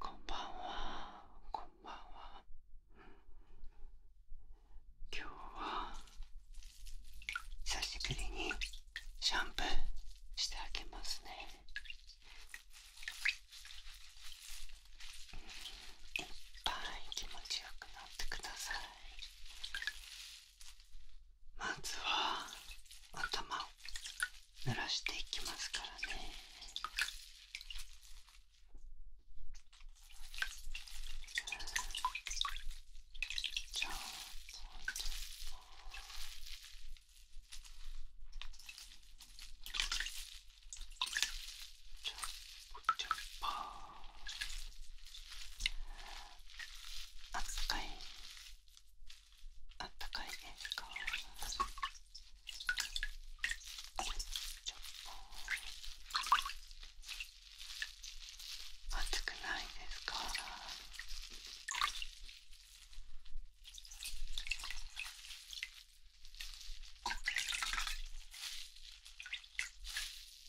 こんばんはこんばんは今日は久しぶりにシャンプーしてあげますねいっぱい気持ちよくなってくださいまずは頭を濡らしていきますからねちょっとゃ、あったかいあったかいですか暑くないですか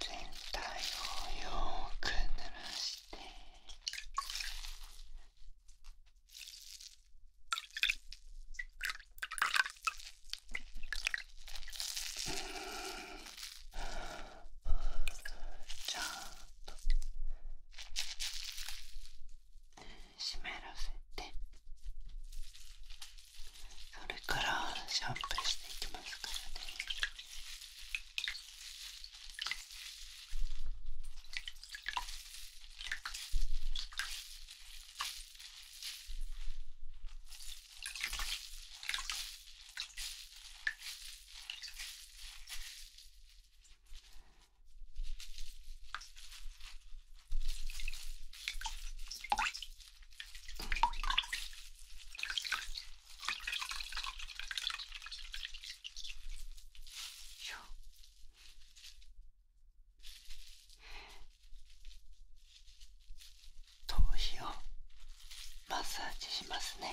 全体をよく濡らしてちゃんと湿らせて。それからシャンプーしていきますからね頭皮をマッサージしますね。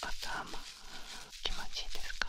頭気持ちいいですか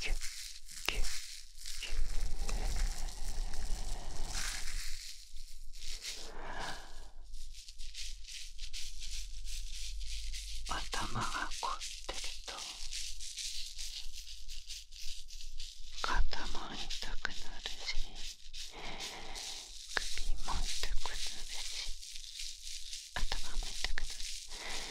キュッキュッキュッ頭が凝ってると肩も痛くなるし首も痛くなるし頭も痛くなる。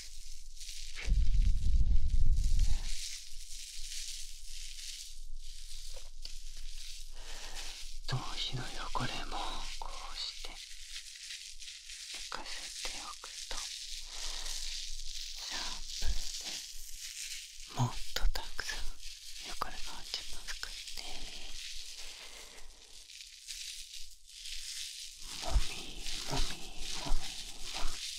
頭皮の汚れもこうして寝かせておくとシャンプーでもっとたくさん汚れが落ちますからねもみもみもみもみ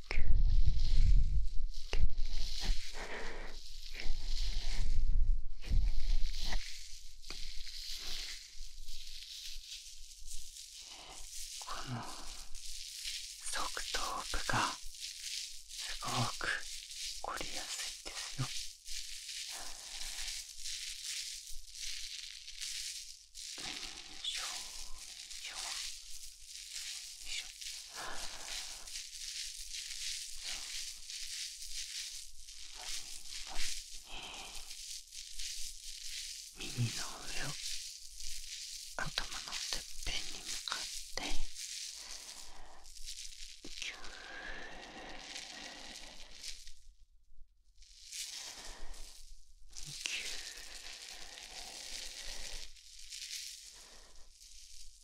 この側頭部がすごく凝りやすいですよよいしょよしょよいしょ耳の上を頭のてっぺんに向かってぎゅーぎゅー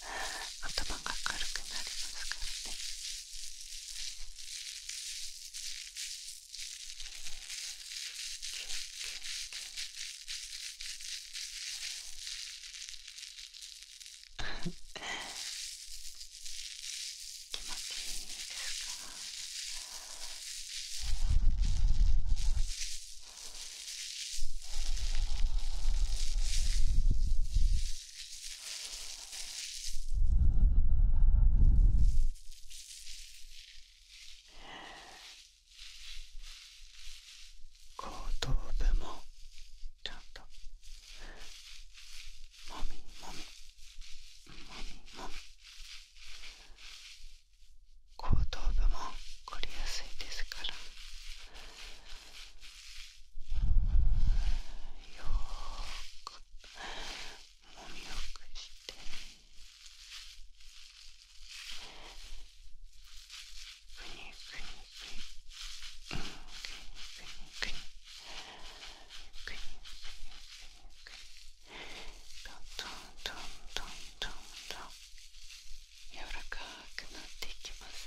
頭が軽くなりますからね気持ちいいですか後頭部もちゃんともみもみもみもみ後頭部も凝りやすいですからよくもみよくしてくにくにくにくにくにくにくにくにくにどんとんとんとんとんとん柔らかくなっていきます。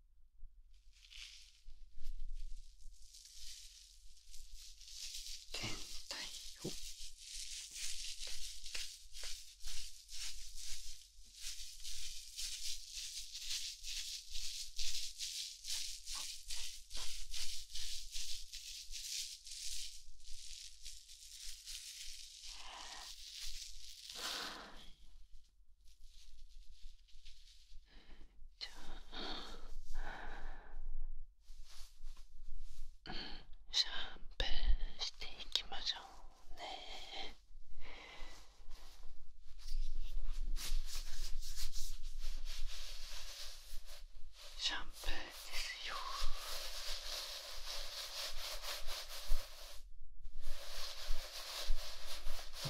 全体をシャンプーしていきましょうねシャンプーですよ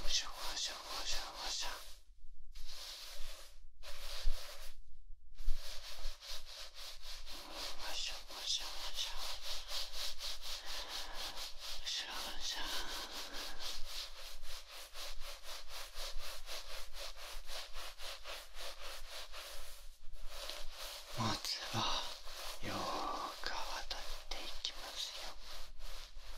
シャワシャワシャワシャしょしょもしょもしょもしょもつはよーく泡立っていきますよ。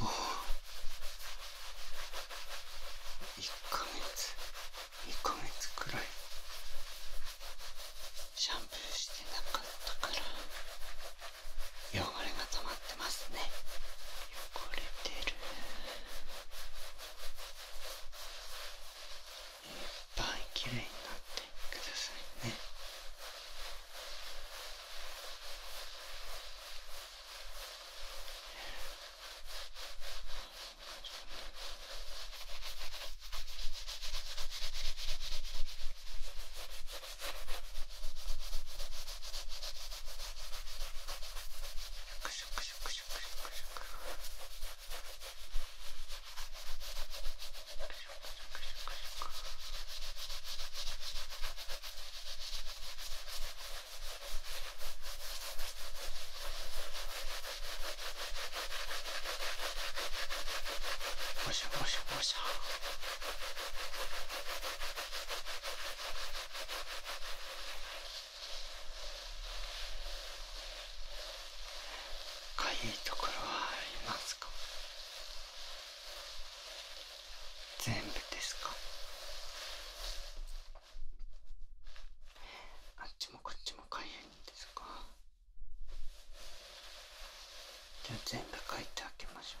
もうかか月。月くらら。い。シャンプーしててなっった汚れがまますね。汚れてるいっぱいきれいになってくださいねシュクシュクシュクシュクシュクシュクおしゃおしゃおしゃかゆいところはありますか全部ですかあっちもこっちもかゆいんですかじゃあ全部かいてあげましょう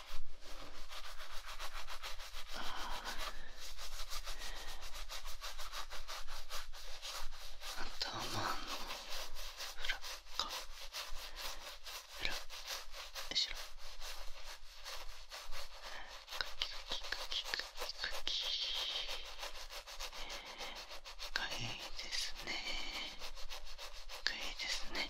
あ頭の裏か裏後ろかきかきかきかきかき。かいいですねかいいですね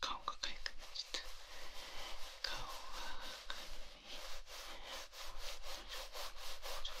顔がかゆくなっちゃった顔がかゆい。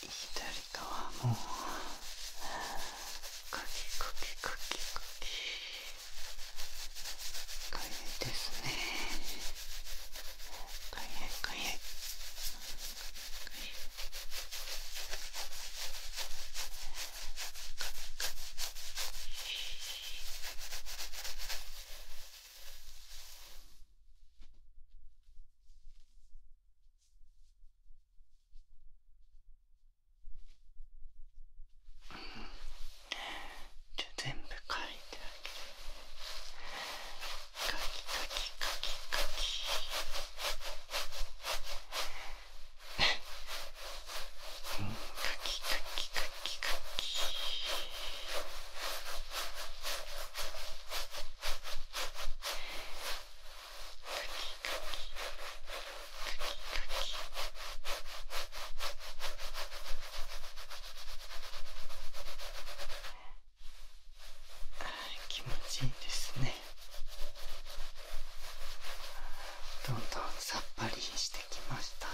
左側もかきかきかきかきかゆいですねかゆいかゆいかゆいうん。じゃあ全部書いてあげる書き書き書き書きうん、書き書き書き書き気持ちいいですねどんどんさっぱりしてきました、うん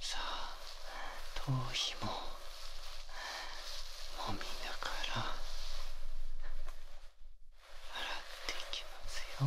さあ頭皮ももみながら洗っていきますよ。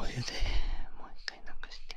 お湯でもう一回なくして。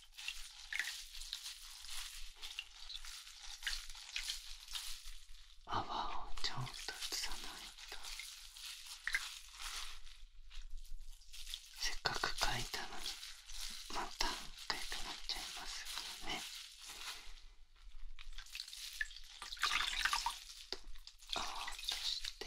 泡をちゃんと移さないとせっかく書いたのにまた書いたなっちゃいますからねちょっと泡を落として。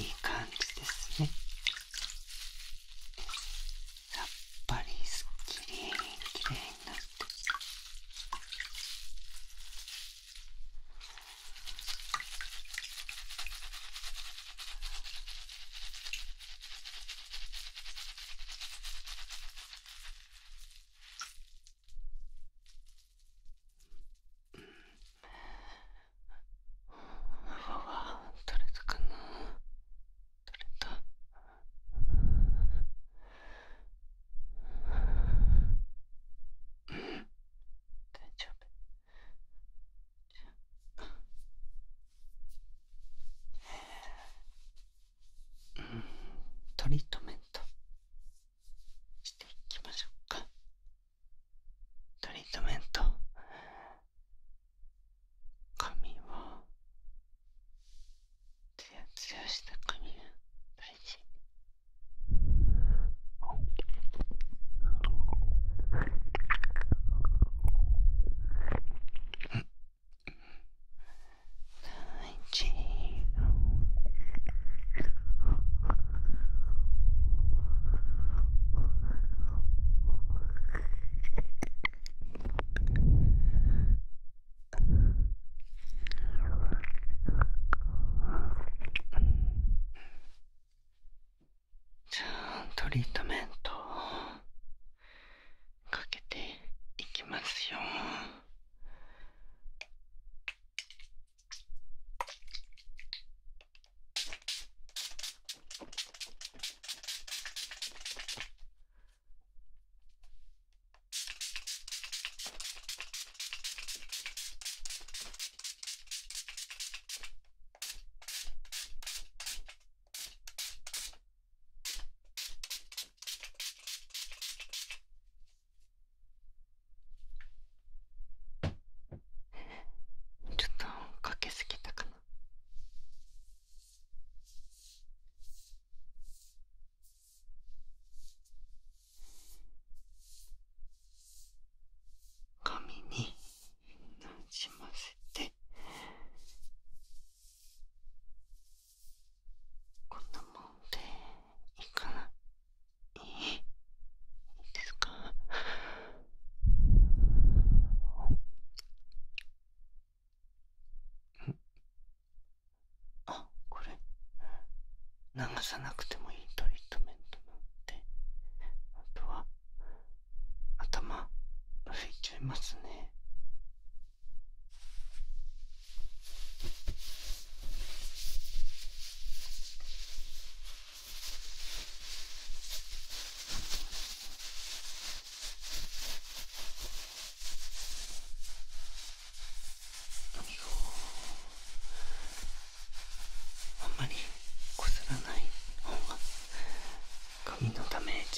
いい感じですねさっぱりすっきりきれいになってうは取れたかな取れたうん大丈夫トリートメントしていきましょうかトリートメント髪を…ツヤツヤした髪が大事うんトリートメントをかけていきますよ。ちょっとかけすぎたかな。髪になじませてこんなもんでいいかないいですかあこれ流さなくてもいいトリートメントなんであとは頭拭いちゃいますねあんまりこすらない方が髪のため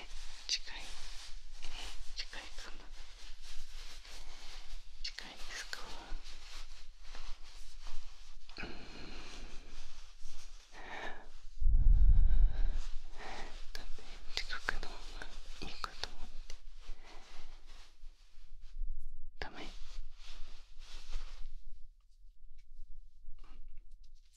近い近いかな近いですかうんだって近くの方がいいかと思ってうん。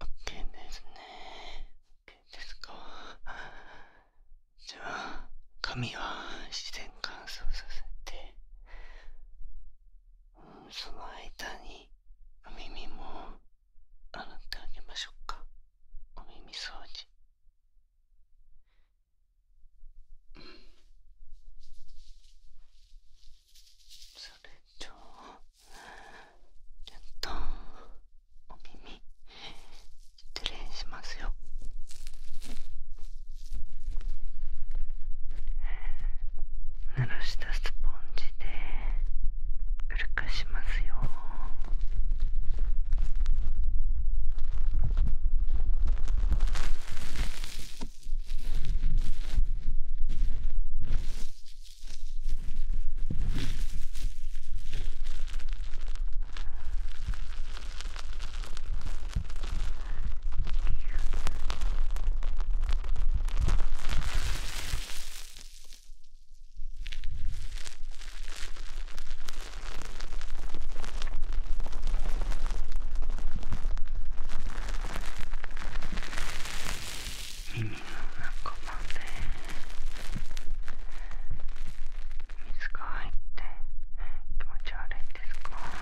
OK ですね OK ですかじゃあ髪は自然乾燥させてその間にお耳も洗ってあげましょうかお耳掃除それじとちょっとお耳失礼しますよ。濡らしたスポンジでうるかしますよ。耳の中まで水が入って気持ち悪いですか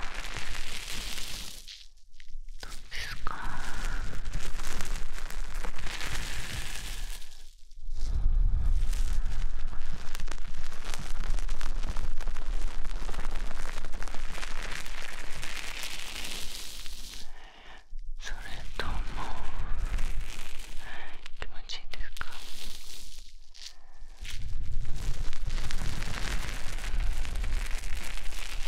どうですかそれとも気持ちいいですか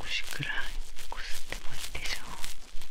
少しくらいこすってもいいでしょう。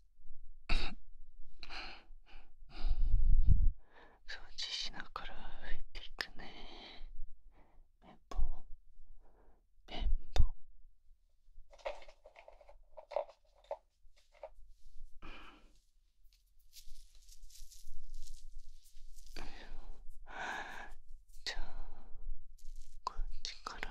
掃除しながら拭いていくね綿ん、綿ん、じゃあこっちから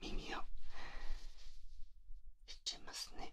耳をいっちゃいますね。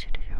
ちるようにあ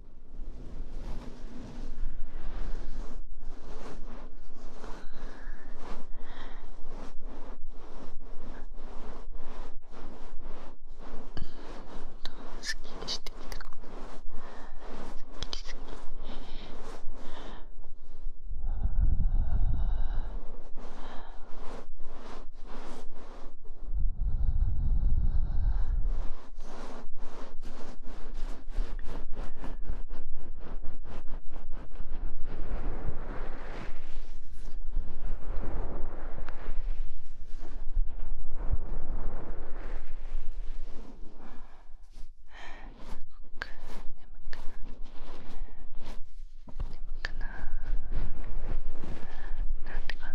すっきりしてきたかもきりきりあなんてかな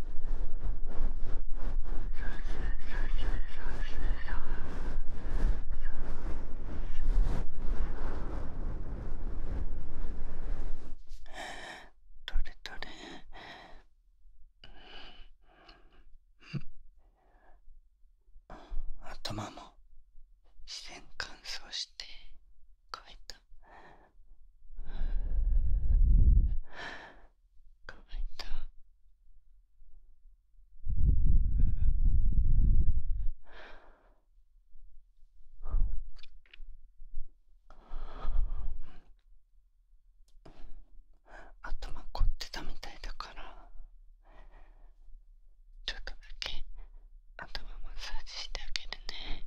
どれどれ頭も自然乾燥して乾いた。乾いた頭凝ってたみたいだからちょっとだけ頭マッサージしてあげるね。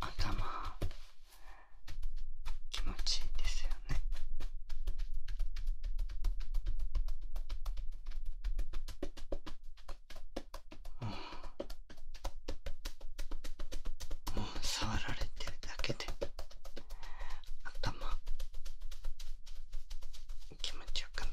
頭気持ちいいですよねもうもう触られてるだけで頭気持ちよくなる。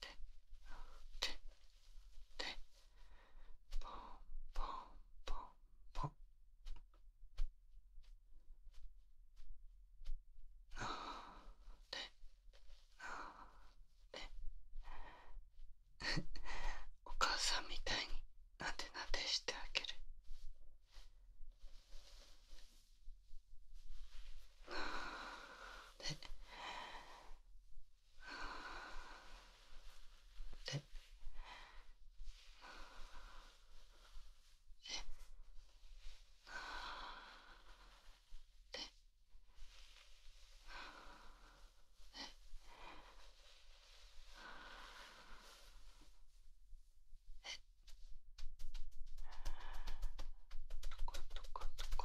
て、て、ポンポンポンポンなでなでお母さんみたいになでなでしてあげるなでえええ。え。え。え。どこどこどこ。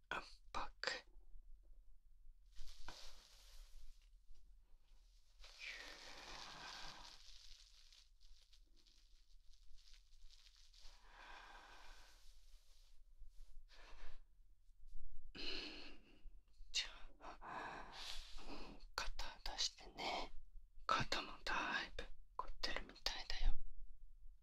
u n 肩出してね肩もだいぶ凝ってるみたいだよ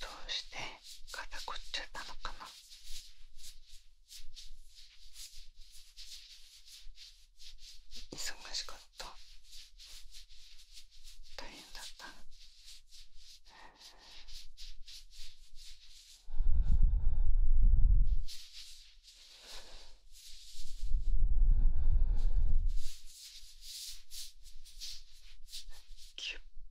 どうして肩こっちゃったのかな忙しかった大変だったキュッ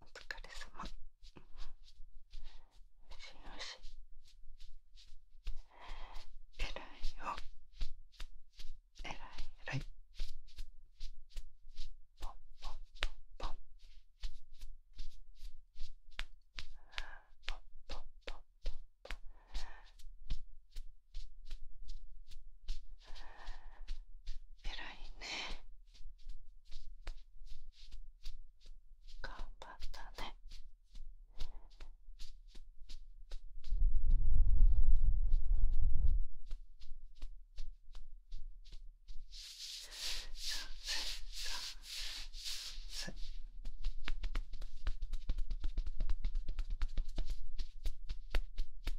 お疲れ様よしよしえらいよえらいえらいポンポンポンポンポンポンポンポンポン偉いね頑張ったね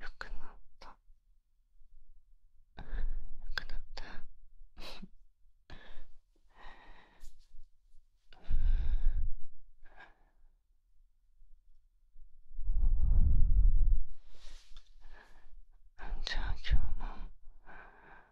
よくなったよくなったじゃあ今日も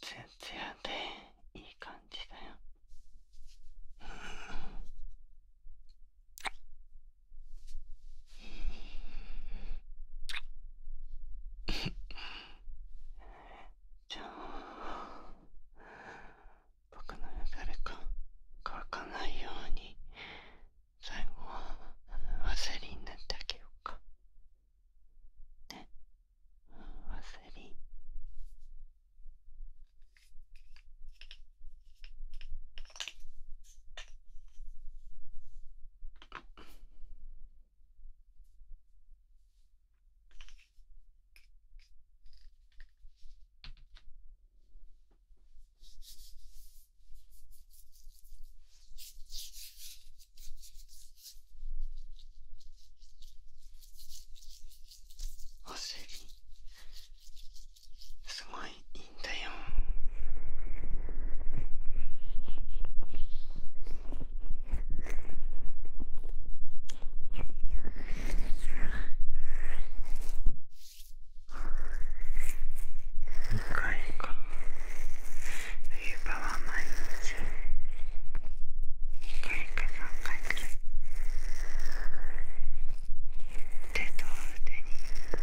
ツヤツヤでいい感じだよ。じゃあ僕の誰か乾かないように最後はワセりになってあげようかねワセうん。お尻すごいいいんだよ。2回か冬場は毎日1回か3回くらい手と腕に塗ってる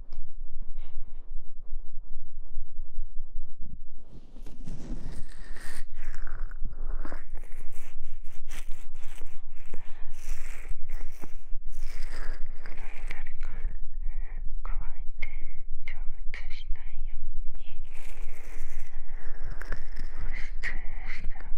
乾いて蒸発しないように保湿してあげる保湿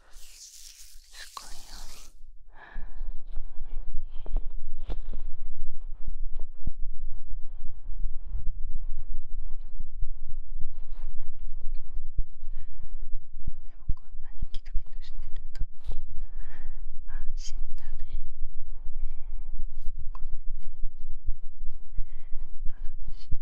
すごいよでもこんなにキトキトしてるとあ死んだねこれで安心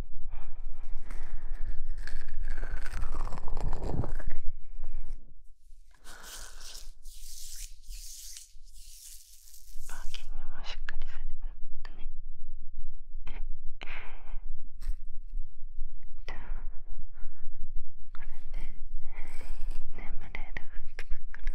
パーキングもしっかりされたったねこれで眠れる服だから。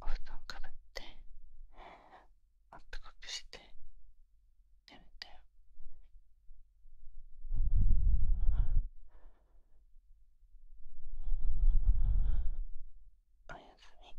お布団かぶってあったかくしてやめたよおやすみ。